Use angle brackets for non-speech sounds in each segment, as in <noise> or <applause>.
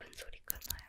뭔 소리가 나요?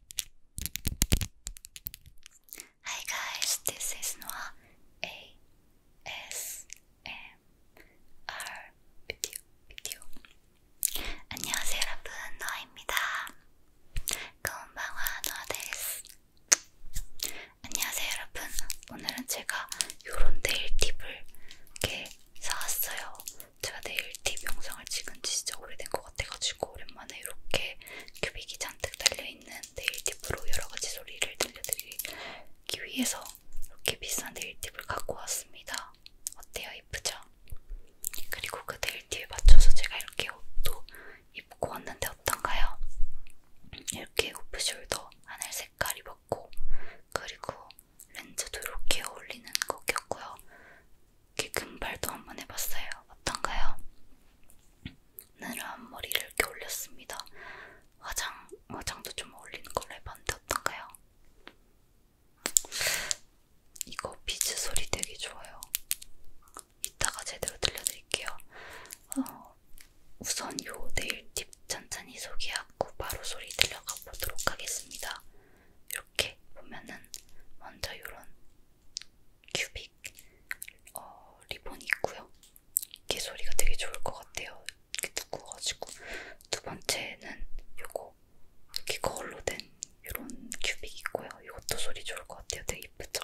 Hi guys, this is Noah A S M R video video. 안녕하세요 여러분, 노아입니다. 건방와 노아 데스. 안녕하세요 여러분, 오늘은 제가 요런 네일 팁을 이렇게 사왔어요. 제가 내일 팁 영상을 찍은 지 진짜 오래된 것 같아가지고 오랜만에 이렇게 큐빅이 잔뜩 달려있는 네일 팁으로 여러가지 소리를 들려드리기 위해서 이렇게 비싼 네일 팁을 갖고 왔습니다. 어때요? 예쁘죠? 그리고 그 네일 팁에 맞춰서 제가 이렇게 옷도 입고 왔는데 어떤가요? 이렇게 오프숄더 하늘 색깔 입었고 그리고 렌즈도 이렇게 어울리는 거 꼈고요. 개금발도 한번 해봤어요. 어떤가요? 느란 머리를 이렇게 올렸습니다. 화장, 화장도 좀 어울리는 걸로 해봤는데 어떤가요? 이거 비즈 소리 되게 좋아요. 이따가 제대로 들려드릴게요. 어, 우선 요 네일팁 천천히 소개하고 바로 소리 들려가 보도록 하겠습니다. 이렇게 보면은 먼저 이런 큐빅 어, 리본이 있고요. 이게 소리가 되게 좋을 것 같아요. 이렇게 두꺼워지고 두 번째는 요거 이렇게 거울로 된 이런 큐빅 있고요. 이것도 소리 좋을 것 같아요. 되게 이쁘죠?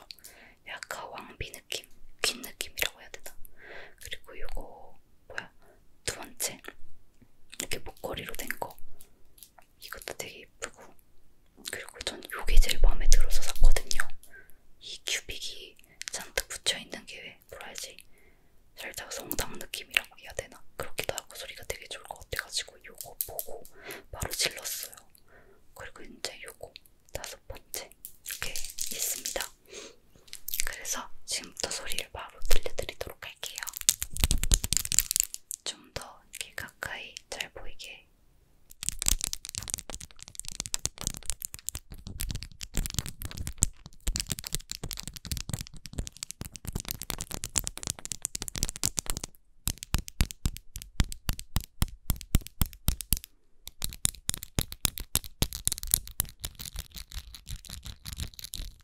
약간 왕비 느낌, 긴 느낌이라고 해야 되나? 그리고 요거 뭐야? 두 번째 이렇게 목걸이로 된 거. 이것도 되게 예쁘고 그리고 전 요게 제일 마음에 들어서 샀거든요. 이 큐빅이 잔뜩 붙여있는 게 뭐라 해야지 살짝 성당 느낌이라고 해야 되나? 그렇기도 하고 소리가 되게 좋을 것 같아가지고 요거 보고 바로 질렀어요. 그리고 이제 요거 다섯 번째 이렇게 있습니다. 그래서 지금부터 소리를 바로 들려드리도록 할게요. 좀더 이렇게 가까이 잘 보이게.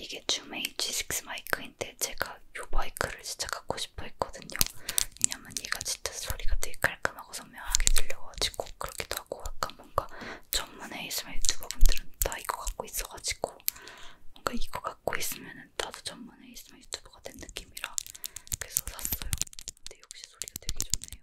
이게 줌의 H6 마이크인데 제가 이 마이크를 진짜 갖고 싶어 했거든요. 왜냐면 얘가 진짜 소리가 되게 깔끔하고 선명하게 들려가지고 그렇게 더 하고 약간 뭔가 전문 ASMR 유튜버분들은 다 이거 갖고 있어가지고 뭔가 이거 갖고 있으면은 나도 전문 ASMR 유튜버가 된 느낌이라 그래서 샀어요. 근데 역시 소리가 되게 좋네요.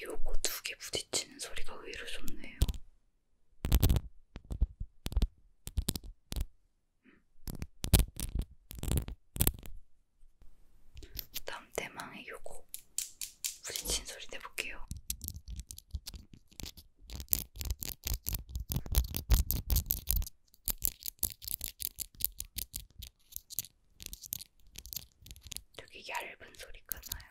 요거 두 개 부딪히는 소리가 의외로 좋네요. 다음 대망의 요거 부딪힌 소리 내볼게요. 되게 얇은 소리가 나요.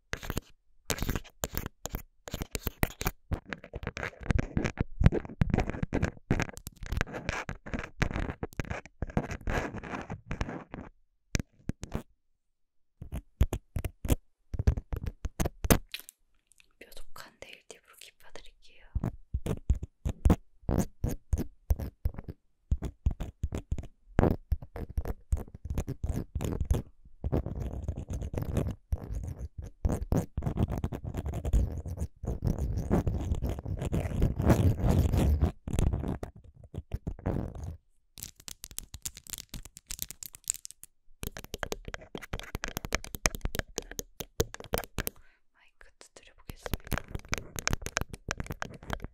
뾰족한 네일팁으로 깊어드릴게요. 마이크 두드려 보겠습니다.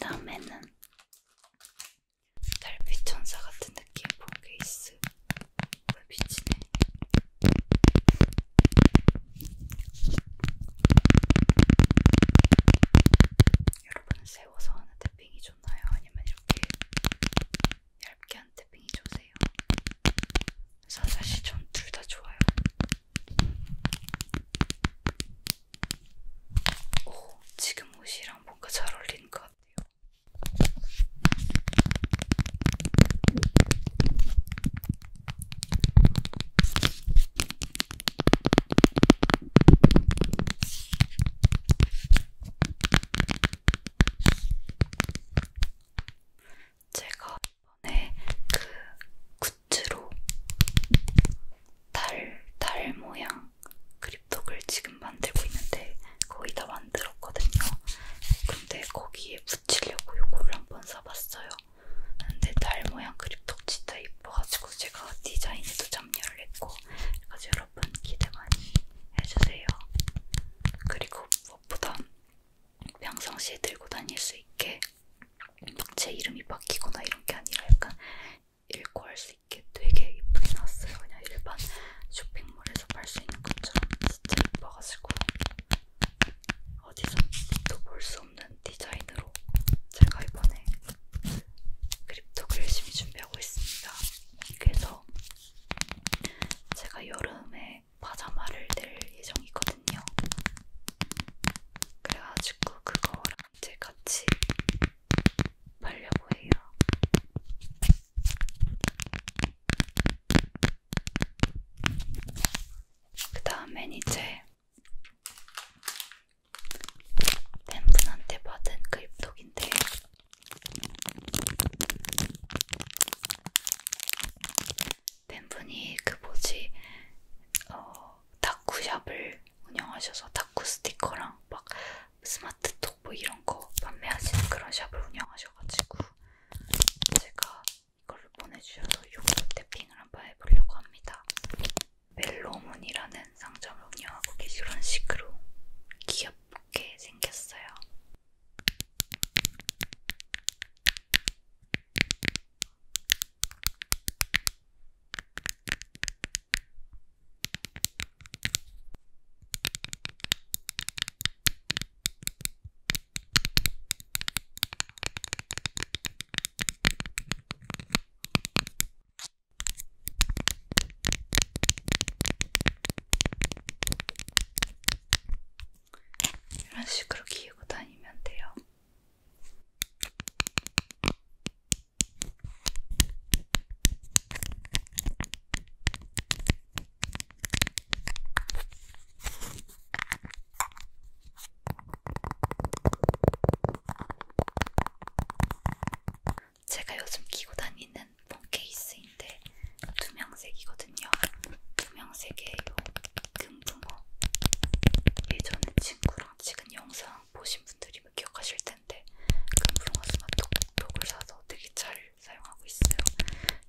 다음에는 달빛 천사 같은 느낌 보게 있어. 글라스 아, 뭐야 미치네 여러분은 세워서 하는 태핑이 좋나요? 아니면 이렇게 얇게 하는 태핑이 좋으세요? 사실 전둘다 좋아요 오 지금 옷이랑 뭔가 잘 어울리는 것 같아요 제가 이번에 그 굿즈로 달, 달 모양 그립톡을 지금 만들고 있는데 거의 다 만들었거든요. 근데 거기에 붙이려고 요거를 한번 사봤어요. 근데 달 모양 그립톡 진짜 이뻐가지고 제가 디자인에도 참여를 했고 그래서 여러분 기대 많이 해주세요. 그리고 무엇보다 평상시에 들고 다닐 수 있게 막제 이름이 바뀌거나 이런 게 아니라 약간 읽고 할 수 있게 되게 이쁘게 나왔어요. 그냥 일반 쇼핑 쇼핑몰에서 팔 수 있는 것처럼 진짜 예뻐가지고 어디서 또볼 수 없는 디자인으로 제가 이번에 그립톡을 열심히 준비하고 있습니다. 그래서 제가 여름에 파자마를 낼 예정이거든요. 그래가지고 그거랑 이제 같이 팔려고 해요. 그 다음엔 이제 팬분한테 받은 그립톡인데 팬분이 그 뭐지 어, 다쿠샵을 운영하셔서 다쿠 스티커랑 막 스마트톡 뭐 이런 거 판매하시는 그런 샵을 운영하셔가지고 제가 이걸 보내주셔서 요거 탭핑을 한번 해보려고 합니다. 멜로문이라는 상점을 운영하고 계신 그런 식으로 귀엽게 생겼어요. 이런 식으로 기우고 다니면 돼요. 제가 요즘 끼고 다니는 폰 케이스인데 투명색이거든요. 투명색의 요 금붕어. 예전에 친구랑 찍은 영상 보신 분들이 기억하실 텐데 금붕어 스마트톡을 사서 되게 잘 사용하고 있어요.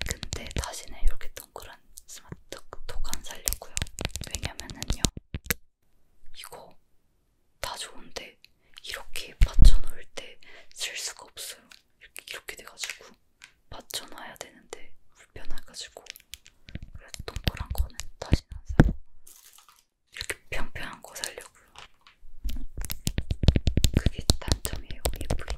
근데 다시는 이렇게 동그란 스마트 톡안 살려고요. 왜냐면은요, 이거 다 좋은데 이렇게 받쳐놓을 때 쓸 수가 없어요. 이렇게, 이렇게 돼가지고 받쳐놔야 되는데 불편해가지고 그래서 동그란 거는 다시는 안 사고 이렇게 평평한 거 살려고요. 그게 단점이에요. 예쁘긴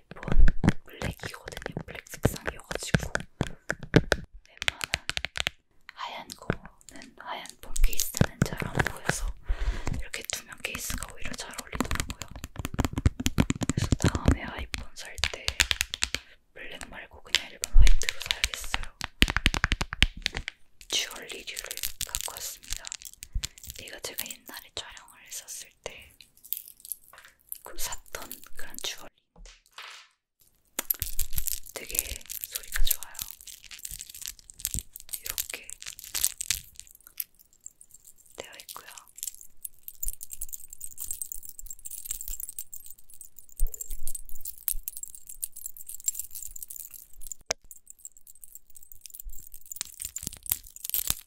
아이폰 블랙이거든요. 블랙 색상이어가지고 웬만한 하얀 거는 하얀 폰 케이스는 잘 안 보여서 이렇게 투명 케이스가 오히려 잘 어울리더라고요. 그래서 다음에 아이폰 살 때 블랙 말고 그냥 일반 화이트로 사야겠어요. 듀얼 리뷰를 갖고 왔습니다. 이거 제가 옛날에 촬영을 했었을 어렸을 때그 샀던 그런 주얼리인데 되게 소리가 좋아요. 이렇게 되어 있고요.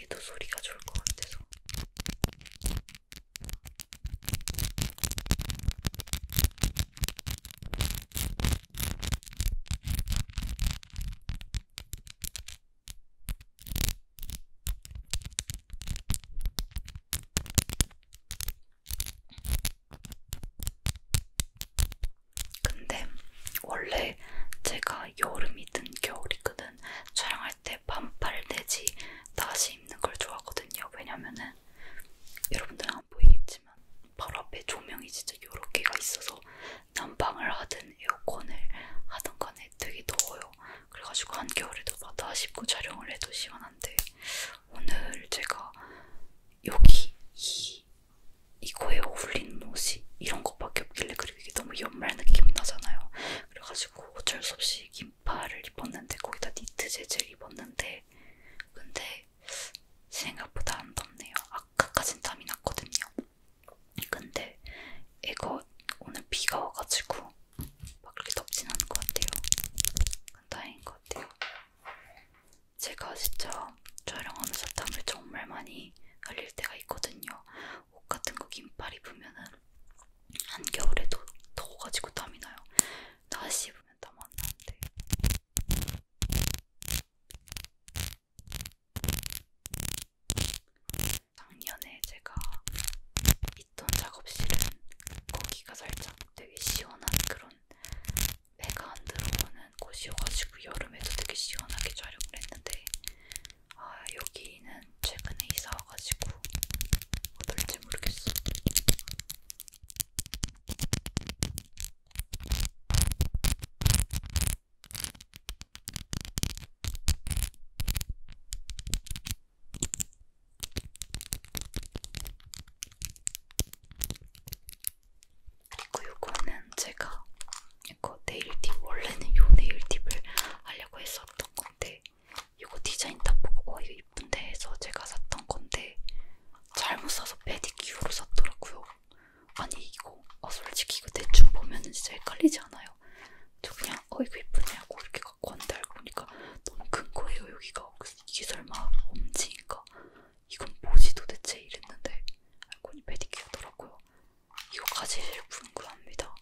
얘도 소리가 좋을 것 같아서. 근데 원래 제가 여름이든 겨울이든 촬영할 때 반팔 내지 나시 입는 걸 좋아하거든요. 왜냐면은 여러분들은 안 보이겠지만 바로 앞에 조명이 진짜 여러 개가 있어서 난방을 하든 에어컨을 하든 간에 되게 더워요. 그래가지고 한겨울에도 나시 입고 촬영을 해도 시원한데 오늘 제가 여기 이 이거에 어울리는 옷이 이런 것밖에 없길래 그리고 이게 너무 연말 느낌이 나잖아요. 그래가지고 어쩔 수 없이 긴팔을 입었는데 거기다 니트 재질 입었는데 근데 생각보다 안 덥네요. 아까까진 땀이 났거든요. 근데 이거 오늘 비가 와가지고 막 그렇게 덥진 않은 것 같아요. 다행인 것 같아요. 제가 진짜 촬영하면서 땀을 정말 많이 흘릴 때가 있거든요. 옷 같은 거 긴팔 입으면은 한겨울에도 더워가지고 땀이 나요. 다시 입으면 땀 안 나는데. 작년에 제가 있던 작업실은 거기가 살짝 되게 시원한 그런 해가 안 들어오는 곳이어가지고 여름에도 되게 시원하게 촬영을 했는데 아 여기는 최근에 이사 와가지고 어떨지 모르겠어. 그리고 이거는 제가 이거 네일팁 원래는 요 네일팁을 하려고 했었던 건데 이거 디자인 딱 보고 어 이거 이쁜데 해서 제가 샀던 건데 잘못 사서 페디큐어로 샀더라고요. 아니 이거 아 솔직히 이거 대충 보면 진짜 헷갈리지 않아요? 저 그냥 어 이거 예쁘네 하고 이렇게 갖고 왔는데 알고 보니까 너무 큰 거예요 여기가. 이게 설마 엄지인가 이건 뭐지 도대체 이랬는데 알고니 페디큐어더라고요. 이거 가지실 분 구합니다.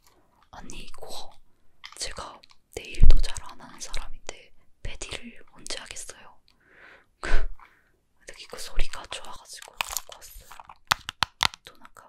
아니 이거 제가 네일도 잘 안 하는 사람인데 페디를 언제 하겠어요. <laughs> 근데 이거 소리가 좋아가지고 갖고 왔어요. 돈 아까워요.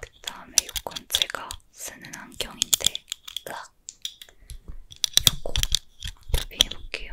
그 다음에 이건 제가 쓰는 안경인데, 딱 요거 더비해 볼게요.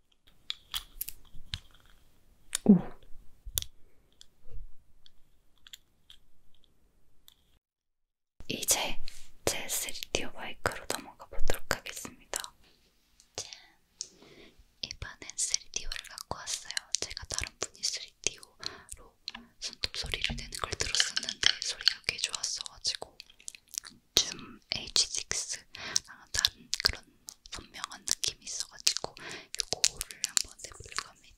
오. 이제 제 3D 마이크로 넘어가 보도록 하겠습니다. 짠. 이번엔 3Do를 갖고 왔어요. 제가 다른 분이 3Do로 손톱 소리를 내는 걸 들었었는데 소리가 꽤 좋았어가지고 좀 H6랑 다른 그런 선명한 느낌이 있어가지고 이거를 한번 해보려고 합니다.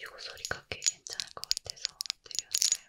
이거 소리가 꽤 괜찮을 것 같아서 드렸어요.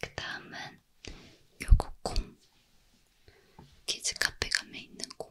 그 다음은 요거 콩 키즈카페 가면 있는 콩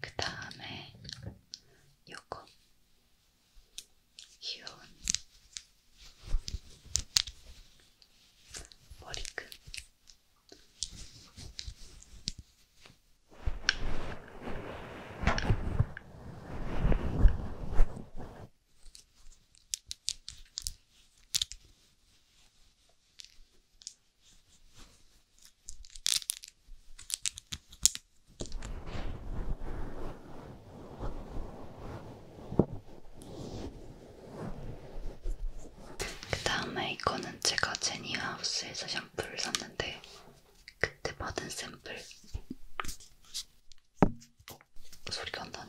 그 다음에 요거 귀여운 머리끈 그 다음에 이거는 제가 제니하우스에서 샴푸를 샀는데 그때 받은 샘플 어, 소리가 안 나네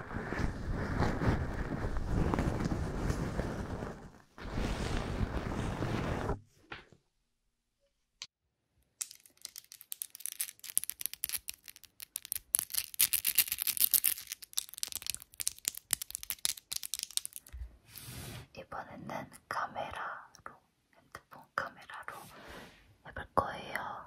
이번에는 카메라로 핸드폰 카메라로 해볼 거예요.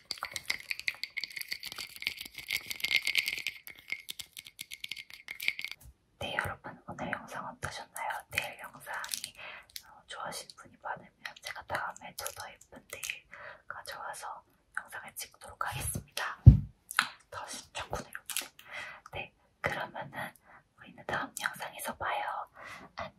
네 여러분 오늘 영상 어떠셨나요? 내일 영상이 어, 좋아하신 분이 많으면 제가 다음에 또더 예쁜 데일 가져와서 영상을 찍도록 하겠습니다. 더 신청구네 여러분. 네 그러면은 우리는 다음 영상에서 봐요. 안녕.